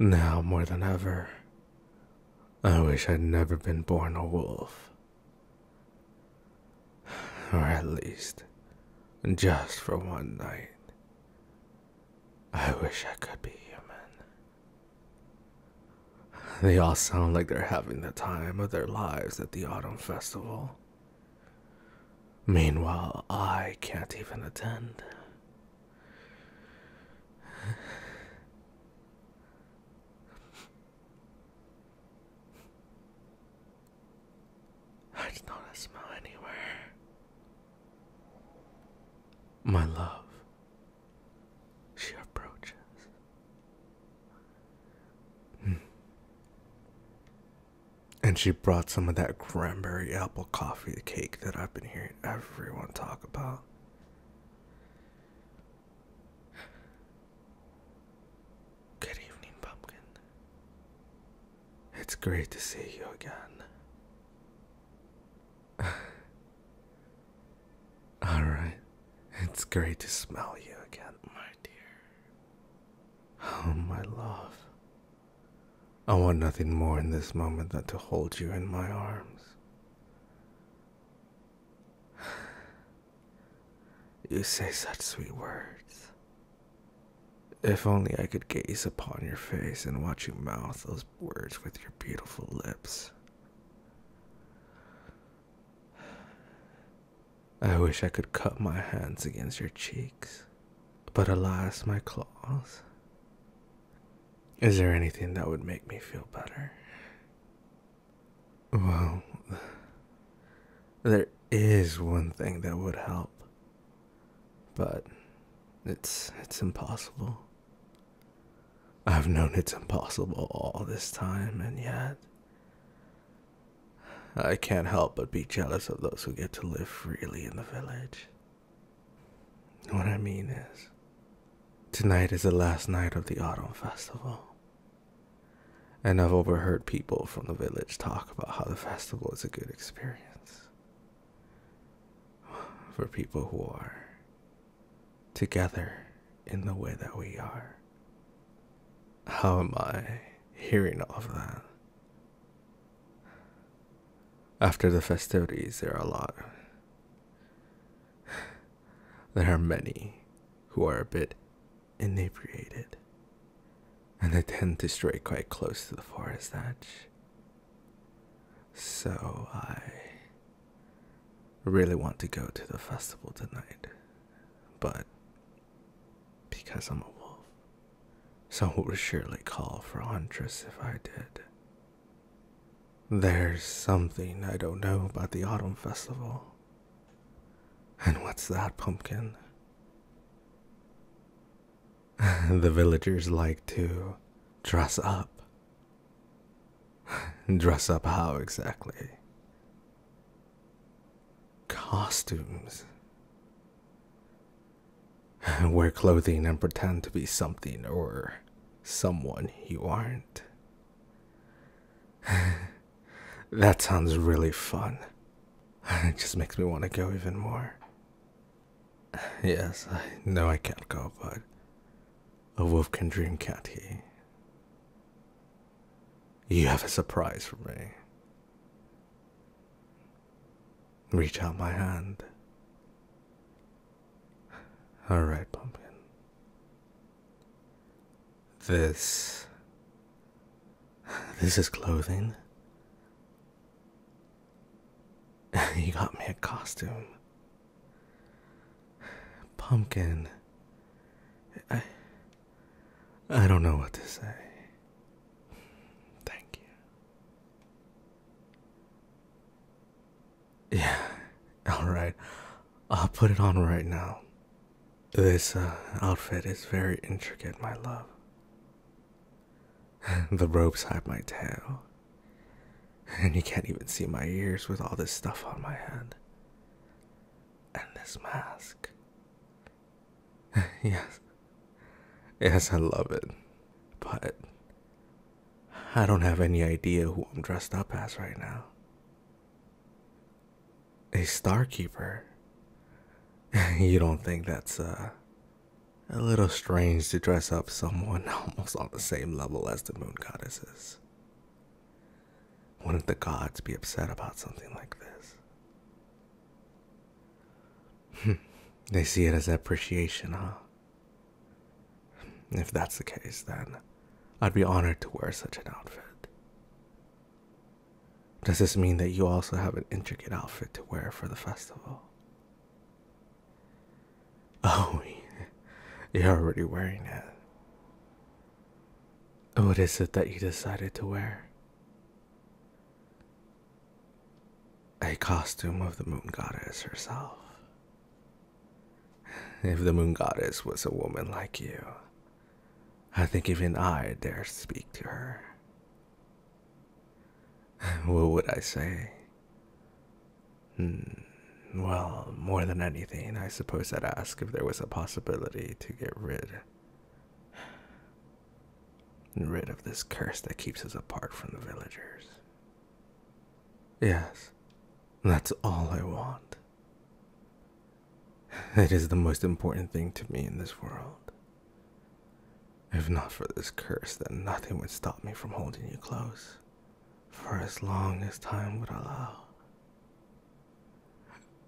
Now more than ever, I wish I'd never been born a wolf. Or at least, just for one night. I wish I could be human. They all sound like they're having the time of their lives at the auto Festival. Meanwhile, I can't even attend. I did not smell anywhere. My love, she approaches. Hmm. And she brought some of that cranberry apple coffee cake that I've been hearing everyone talk about. Good evening, Pumpkin. It's great to see you again. Alright, it's great to smell you again, my dear. Oh, my love. I want nothing more in this moment than to hold you in my arms. You say such sweet words. If only I could gaze upon your face and watch you mouth those words with your beautiful lips. I wish I could cut my hands against your cheeks, but alas, my claws. Is there anything that would make me feel better? Well, there is one thing that would help, but it's it's impossible. I've known it's impossible all this time, and yet I can't help but be jealous of those who get to live freely in the village. What I mean is, tonight is the last night of the autumn festival. And I've overheard people from the village talk about how the festival is a good experience for people who are together in the way that we are. How am I hearing all of that? After the festivities, there are a lot. There are many who are a bit inebriated, and they tend to stray quite close to the forest edge. So I really want to go to the festival tonight but because I'm a wolf, someone would surely call for a Huntress if I did. There's something I don't know about the Autumn Festival. And what's that, pumpkin? the villagers like to dress up. Dress up how exactly? costumes. Wear clothing and pretend to be something or someone you aren't. that sounds really fun. It just makes me want to go even more. Yes, I know I can't go, but a wolf can dream, can't he? you have a surprise for me. Reach out my hand. All right, pumpkin. This. This is clothing. you got me a costume. Pumpkin. I, I don't know what to say. Thank you. Yeah, alright. I'll put it on right now. This uh, outfit is very intricate, my love. the ropes hide my tail. And you can't even see my ears with all this stuff on my head and this mask. yes. Yes, I love it. But I don't have any idea who I'm dressed up as right now. A Starkeeper? you don't think that's uh, a little strange to dress up someone almost on the same level as the moon goddesses? Wouldn't the gods be upset about something like this? they see it as appreciation, huh? If that's the case, then I'd be honored to wear such an outfit. Does this mean that you also have an intricate outfit to wear for the festival? Oh, you're already wearing it. Oh, what is it that you decided to wear? A costume of the moon goddess herself. If the moon goddess was a woman like you, I think even I dare speak to her. What would I say? Hmm, well, more than anything, I suppose I'd ask if there was a possibility to get rid rid of this curse that keeps us apart from the villagers. Yes, that's all I want. It is the most important thing to me in this world. If not for this curse, then nothing would stop me from holding you close for as long as time would allow.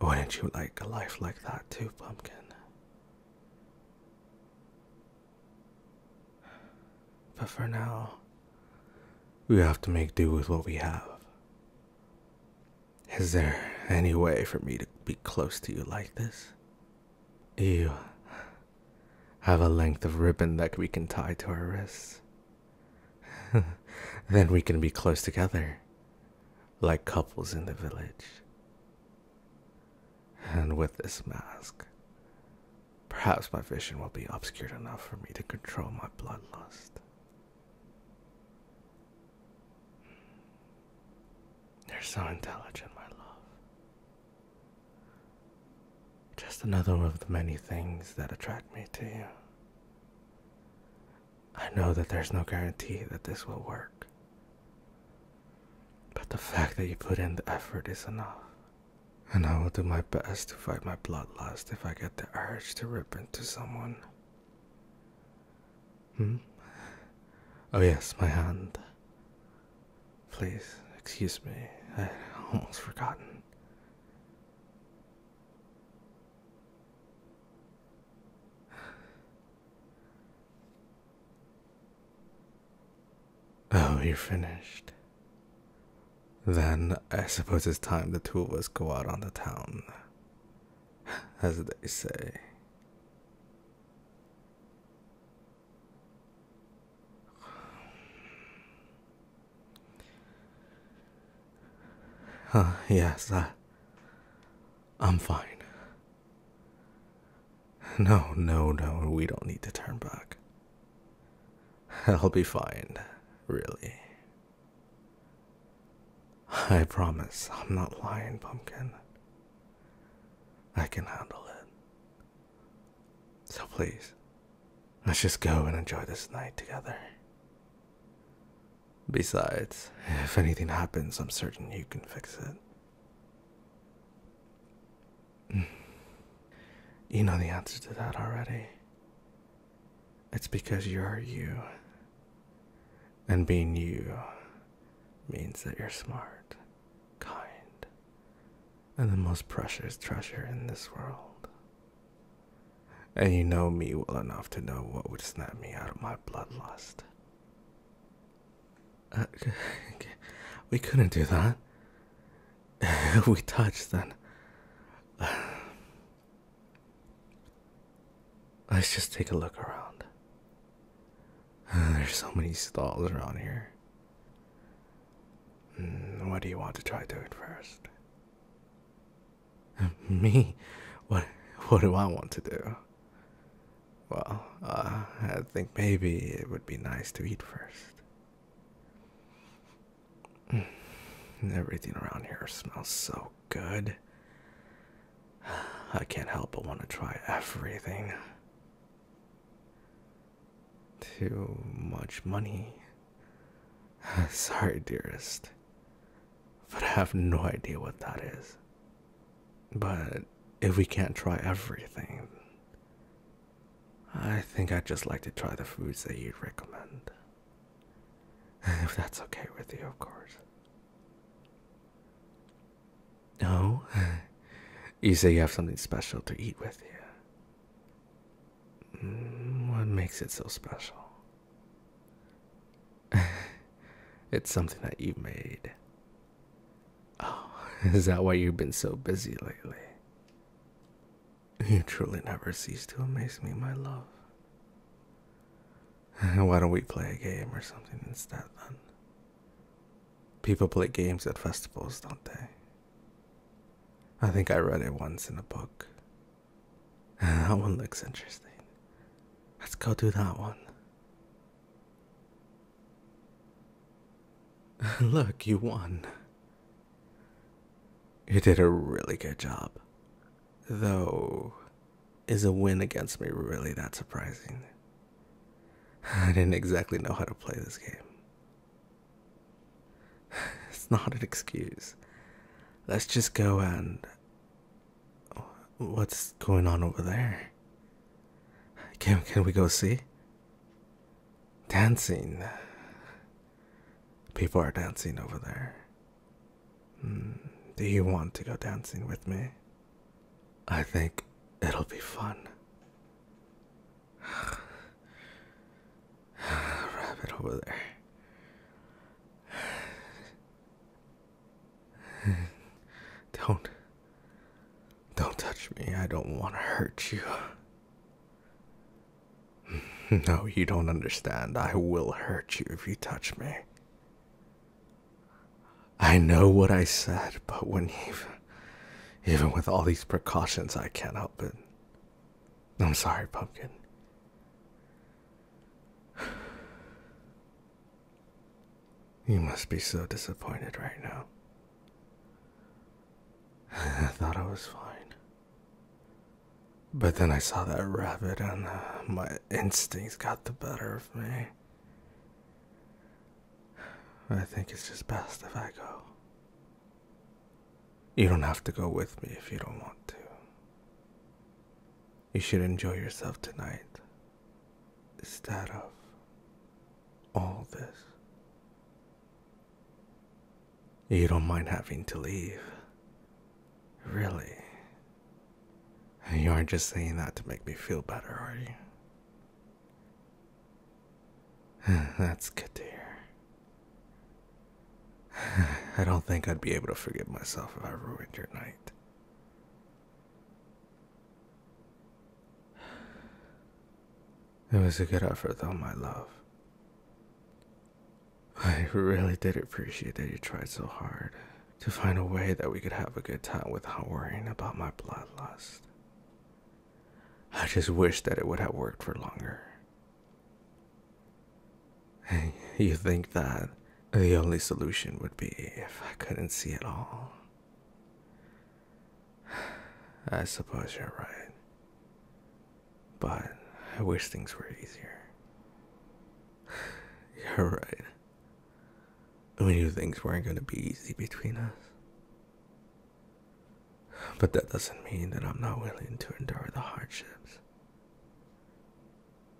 Wouldn't you like a life like that too, Pumpkin? But for now, we have to make do with what we have. Is there any way for me to be close to you like this? You have a length of ribbon that we can tie to our wrists. then we can be close together, like couples in the village. And with this mask, perhaps my vision will be obscured enough for me to control my bloodlust. You're so intelligent, my love. Just another of the many things that attract me to you. I know that there's no guarantee that this will work. But the fact that you put in the effort is enough. And I will do my best to fight my bloodlust if I get the urge to rip into someone. Hmm? Oh, yes, my hand. Please, excuse me. I almost forgotten. Oh, you're finished. Then I suppose it's time the two of us go out on the town, as they say. Uh, yes, I'm fine. No, no, no, we don't need to turn back. I'll be fine, really. I promise I'm not lying, Pumpkin. I can handle it. So please, let's just go and enjoy this night together. Besides, if anything happens, I'm certain you can fix it. You know the answer to that already. It's because you're you. And being you means that you're smart, kind, and the most precious treasure in this world. And you know me well enough to know what would snap me out of my bloodlust. Uh, we couldn't do that. we touched then. Let's just take a look around. there's so many stalls around here. Hmm, what do you want to try doing first? Me? What what do I want to do? Well, uh, I think maybe it would be nice to eat first. Mm, everything around here smells so good. I can't help but want to try everything. Too much money. Sorry, dearest. But I have no idea what that is. But if we can't try everything, I think I'd just like to try the foods that you'd recommend. If that's okay with you, of course. No? you say you have something special to eat with you. Mm, what makes it so special? it's something that you made. Oh, is that why you've been so busy lately? You truly never cease to amaze me, my love. Why don't we play a game or something instead then? People play games at festivals, don't they? I think I read it once in a book. Ah, that one looks interesting. Let's go do that one. Look, you won. You did a really good job. Though, is a win against me really that surprising? I didn't exactly know how to play this game. It's not an excuse. Let's just go and What's going on over there? Can can we go see? Dancing. People are dancing over there. Hmm, do you want to go dancing with me? I think it'll be fun. Rabbit over there. don't. Don't touch me. I don't want to hurt you. No, you don't understand. I will hurt you if you touch me. I know what I said, but when even, even with all these precautions, I can't help it. I'm sorry, Pumpkin. You must be so disappointed right now. I thought I was fine. But then I saw that rabbit, and uh, my instincts got the better of me. I think it's just best if I go. You don't have to go with me if you don't want to. You should enjoy yourself tonight. Instead of all this, you don't mind having to leave. Really? You aren't just saying that to make me feel better, are you? That's good to hear. I don't think I'd be able to forgive myself if I ruined your night. It was a good effort, though, my love. I really did appreciate that you tried so hard to find a way that we could have a good time without worrying about my bloodlust. I just wish that it would have worked for longer. You think that the only solution would be if I couldn't see at all? I suppose you're right. But I wish things were easier. You're right. We knew things weren't going to be easy between us. But that doesn't mean that I'm not willing to endure the hardships.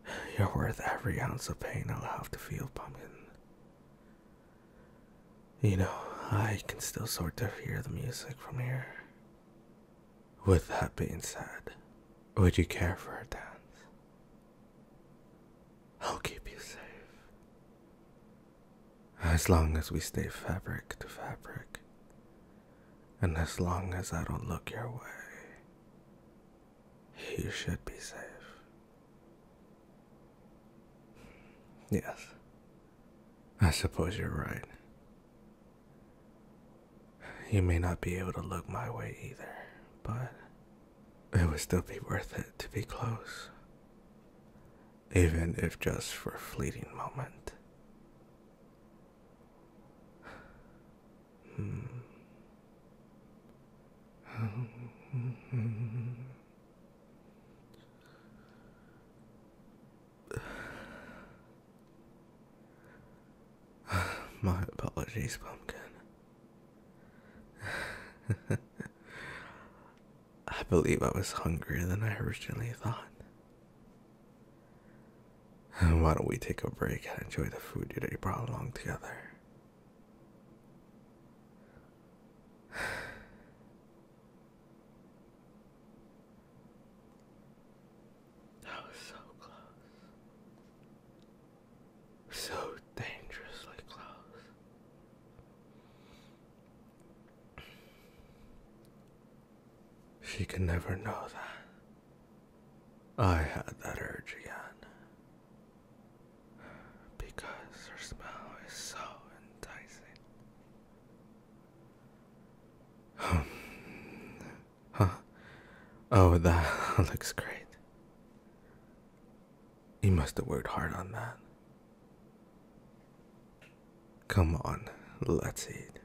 You're worth every ounce of pain I'll have to feel, Pumpkin. You know, I can still sort of hear the music from here. With that being said, would you care for a dance? I'll keep you safe. As long as we stay fabric to fabric, and as long as I don't look your way, you should be safe. Yes, I suppose you're right. You may not be able to look my way either, but it would still be worth it to be close. Even if just for a fleeting moment. Hmm. My apologies, pumpkin. I believe I was hungrier than I originally thought. Why don't we take a break and enjoy the food that you brought along together? That was so close. So dangerously close. She can never know that. I had that urge again. Because her smell is so enticing. Um, huh? Oh, that looks great. You must have worked hard on that. Come on, let's eat.